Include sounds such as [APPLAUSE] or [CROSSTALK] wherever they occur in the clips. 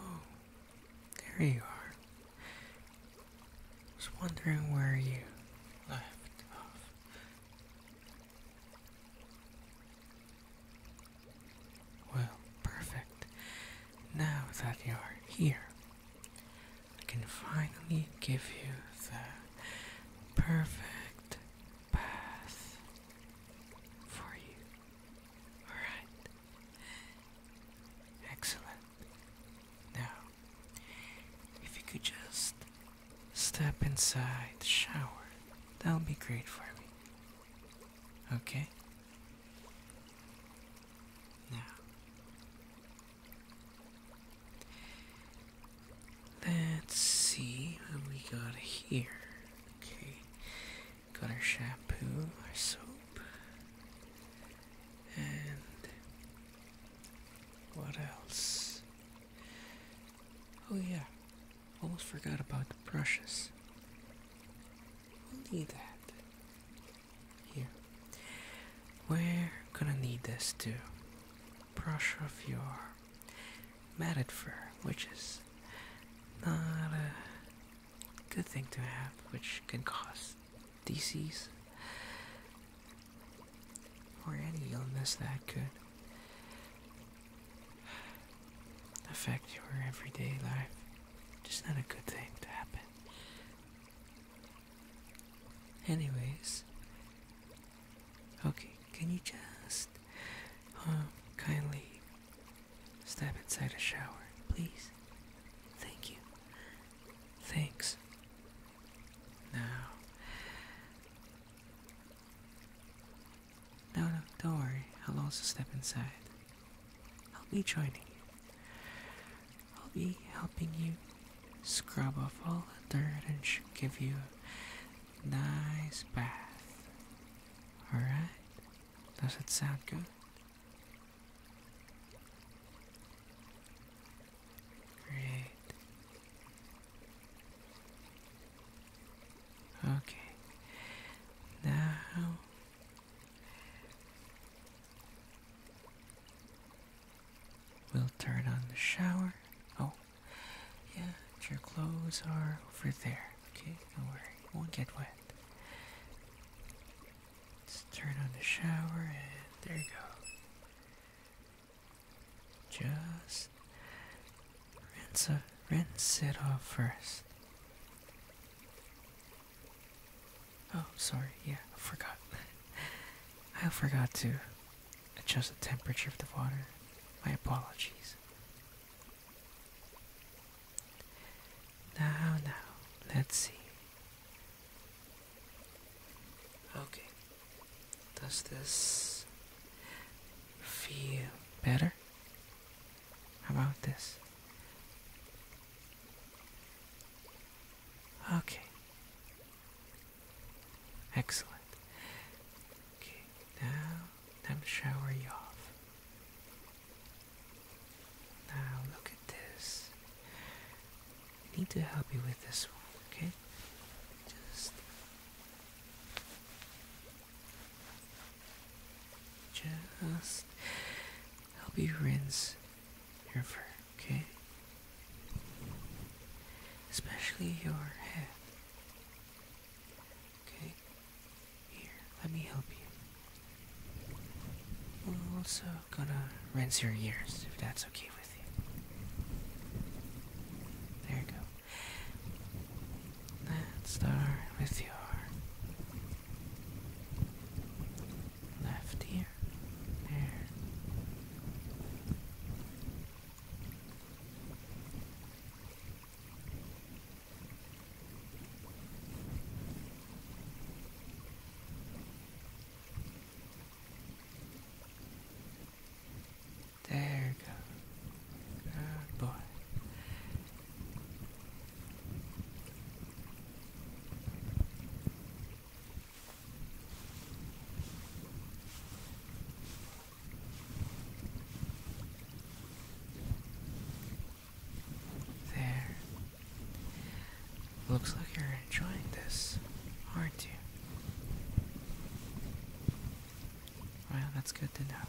Oh, there you are. I was wondering where you left off. Well, perfect. Now that you are here, I can finally give you the perfect path for you. Alright. Excellent. Now, if you could just step inside the shower, that'll be great for me. Okay? Now, let's see what we got here. Okay, got our shampoo, our soap, and what else? Oh, yeah, Almost forgot about the brushes. we need that. Here. We're gonna need this to brush off your matted fur, which is not a good thing to have, which can cause disease or any illness that could affect your everyday life. Just not a good thing to happen. Anyways, okay, can you just um, kindly step inside a shower, please? Thank you. Thanks. Now, no, no, don't worry. I'll also step inside. I'll be joining you. I'll be helping you scrub off all the dirt and give you a nice bath. Alright? Does it sound good? Great. Okay. Now. We'll turn on the shower. Oh, yeah, your clothes are over there. Okay, don't worry, you won't get wet. Let's turn on the shower and there you go. Just Rinse, a, rinse it off first. Oh, sorry. Yeah, I forgot. [LAUGHS] I forgot to adjust the temperature of the water. My apologies. Now, now, let's see. Okay. Does this feel better? How about this? Okay. Excellent. Okay, now time to shower you off. Now look at this. I need to help you with this one, okay? Just just help you rinse your fur, okay? Especially your head. Okay? Here, let me help you. We're also gonna rinse your ears, if that's okay with you. There you go. Let's start with your left ear. There. There you go. Good boy. There. Looks like you're enjoying this, aren't you? Well, that's good to know.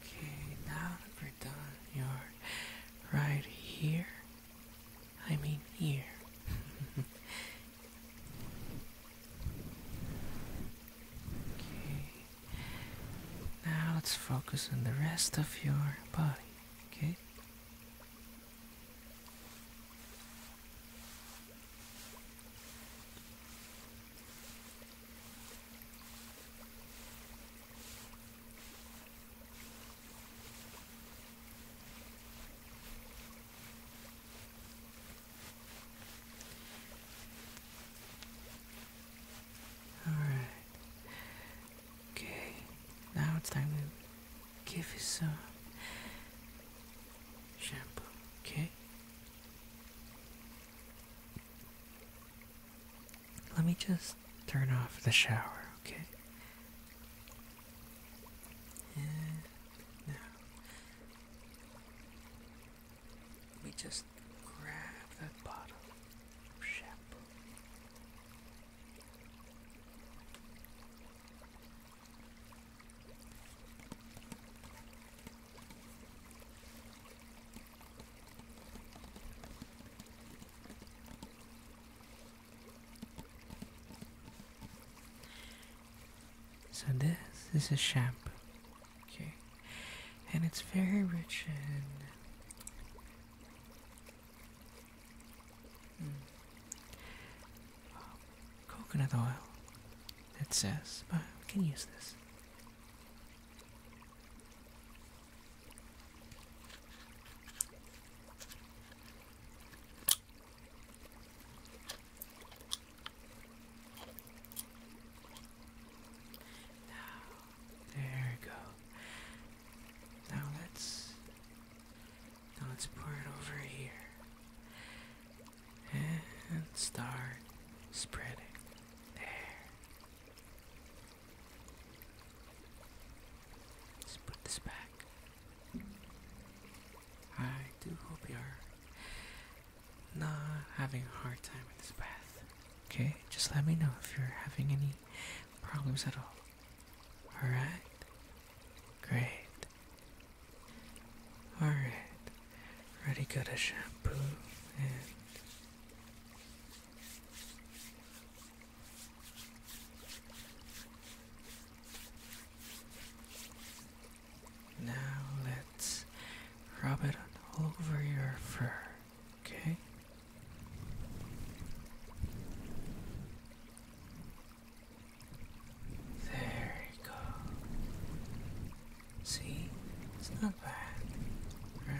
Okay, now that we're done, you're right here. I mean, here. [LAUGHS] Okay. Now let's focus on the rest of your body, okay? Alright. Okay. Now it's time to give you some shampoo, okay? Let me just turn off the shower, okay? And now, let me just grab that bottle of So this is a shampoo Okay. And it's very rich in hmm, coconut oil, it says, but we can use this. Now, there we go. Now let's now let's pour it over here. And start spreading. There. put this back. I do hope you're not having a hard time in this bath. Okay, just let me know if you're having any problems at all. Alright? Great. Alright. Already got a shampoo and now let's rub it all over your fur. Okay. There you go. See? It's not bad, right?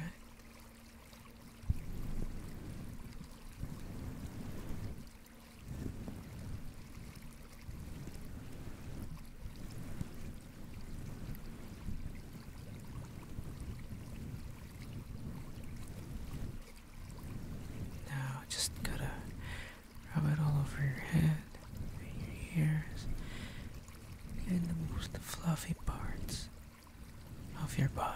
Now just gotta rub it all over your head and your ears and the most fluffy parts of your body.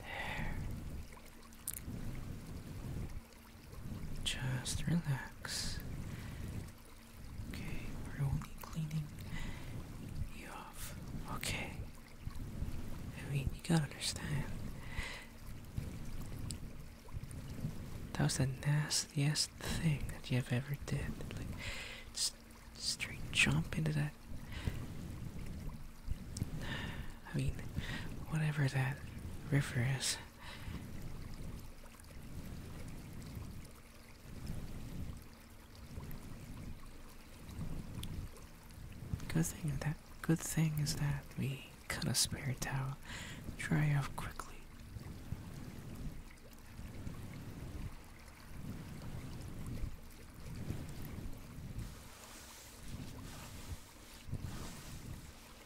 There. Just relax. Okay, we're only cleaning you off. Okay. I mean, you gotta understand. That was the nastiest thing that you've ever did. Like, just straight jump into that. I mean, whatever that river is. Good thing that good thing is that we cut a spare towel dry off quickly.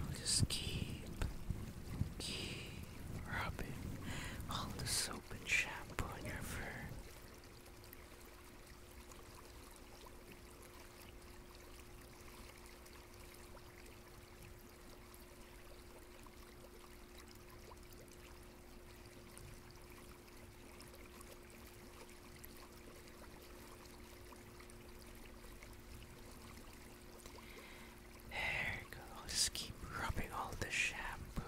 I'll just keep, keep rubbing all the soap and shampoo on your fur. There you go. Just keep rubbing all the shampoo.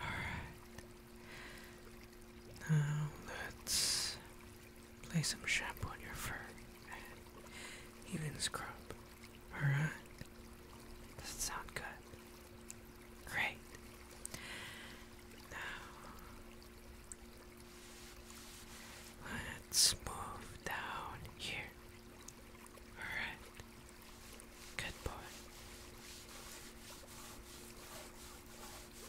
Alright. Now let's play some shampoo on your fur even scrub. Alright? Does it sound good? Great. Now let's move down here. Alright. Good boy.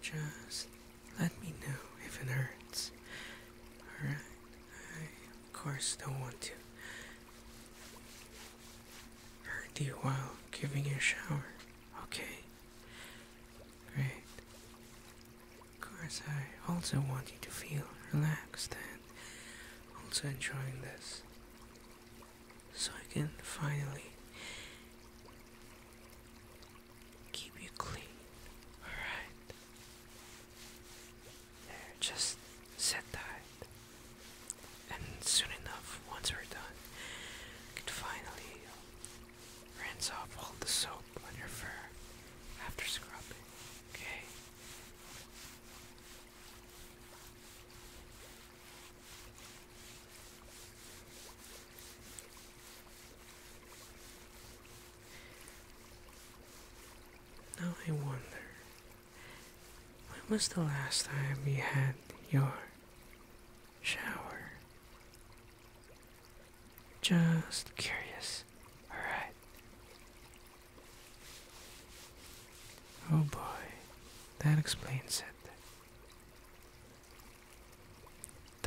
Just let me know if it hurts Alright. of course, don't want to hurt you while giving you a shower. Okay. Great. Of course, I also want you to feel relaxed and also enjoying this. So I can finally keep you clean. Alright just sit tight. And soon enough, once we're done, we can finally rinse off all the soap on your fur after scrubbing, okay? Now I wonder, when was the last time you had your shower? Just curious, alright? Oh boy, that explains it.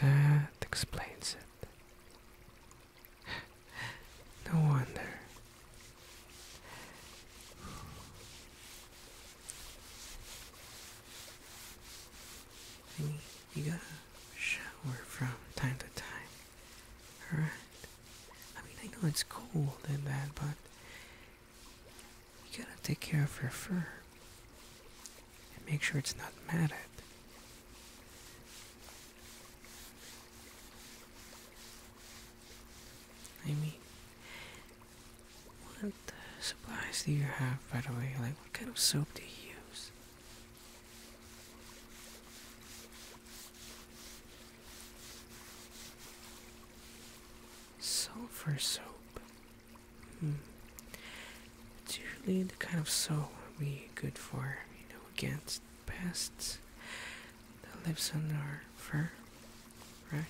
That explains it no wonder. you gotta shower from time to time. Alright? I mean, I know it's cool and that, but you gotta take care of your fur. And make sure it's not matted. I what supplies do you have, by the way? Like, what kind of soap do you use? Sulfur soap. Hmm. usually the kind of soap we good for, you know, against pests that lives on our fur, right?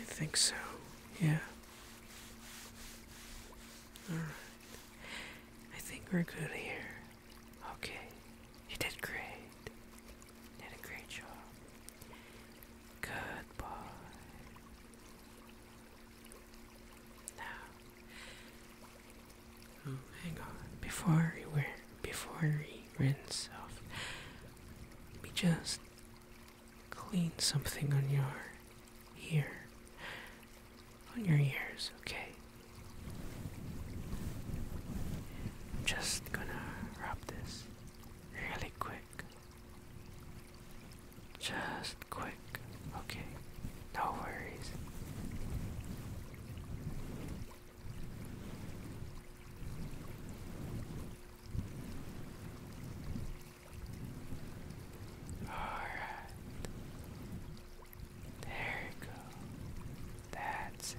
I think so, yeah. Alright. I think we're good here. Okay. You did great. You did a great job. Goodbye. Now, oh, hang on. Before we before we rinse off, we just clean something on your ear, on your ears, okay? I'm just gonna rub this really quick. Just quick. Okay. No worries. Alright. There you go. That's it.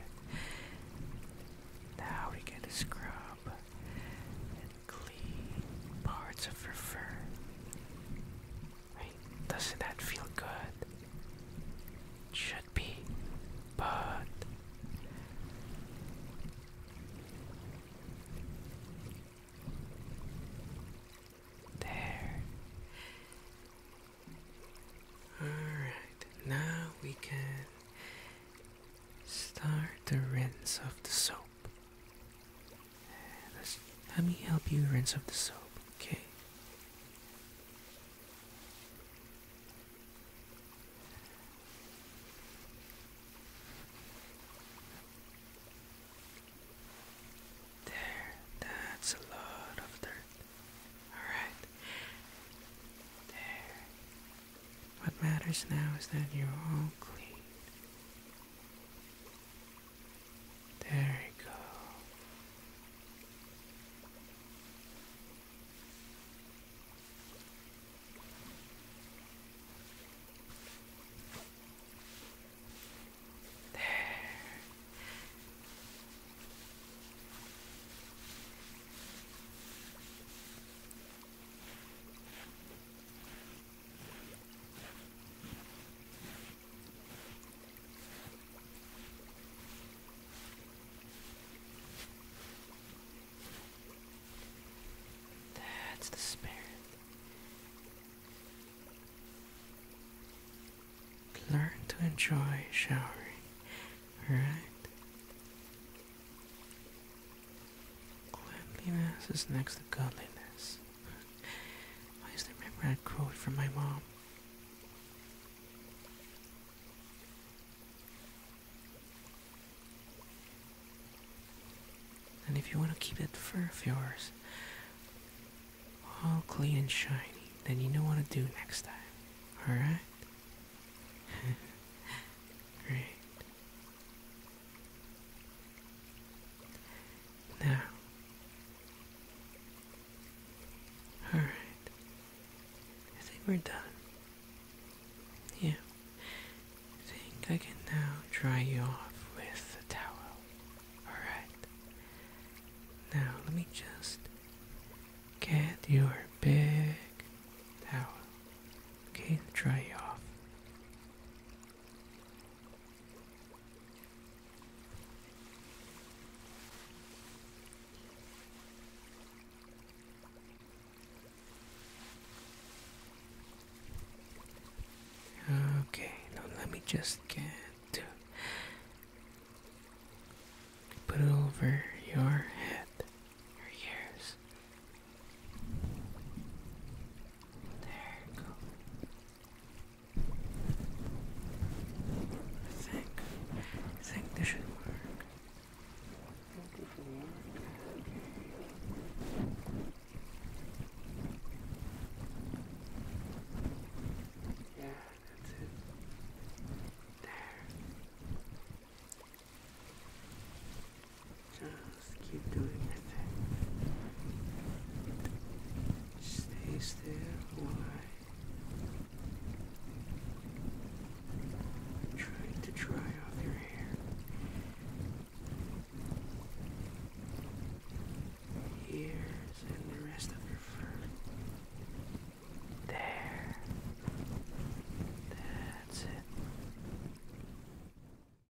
Now we get a scrub and clean parts of her fur. Doesn't that feel good? It should be, but there. Alright, now we can start the rinse of the soap let me help you rinse off the soap, okay? There, that's a lot of dirt. Alright. There. What matters now is that you're all clean. There you go. There. That's the spirit. Learn to enjoy showering, alright? Cleanliness is next to godliness. I just remember a quote from my mom. And if you want to keep that fur of yours all clean and shiny, then you know what to do next time. Alright? [LAUGHS] Great. Now, all right. I think we're done. Yeah. I think I can now dry you off with a towel. All right. Now let me just get your big towel. Okay, dry you off. Okay, let me just get to put it over your head, your ears, there you go. I think, I think this should work. I think this should work. Yeah, that's it. There. Just keep doing your thing. Stay still while I to dry off your hair. Ears and the rest of your fur. There. That's it.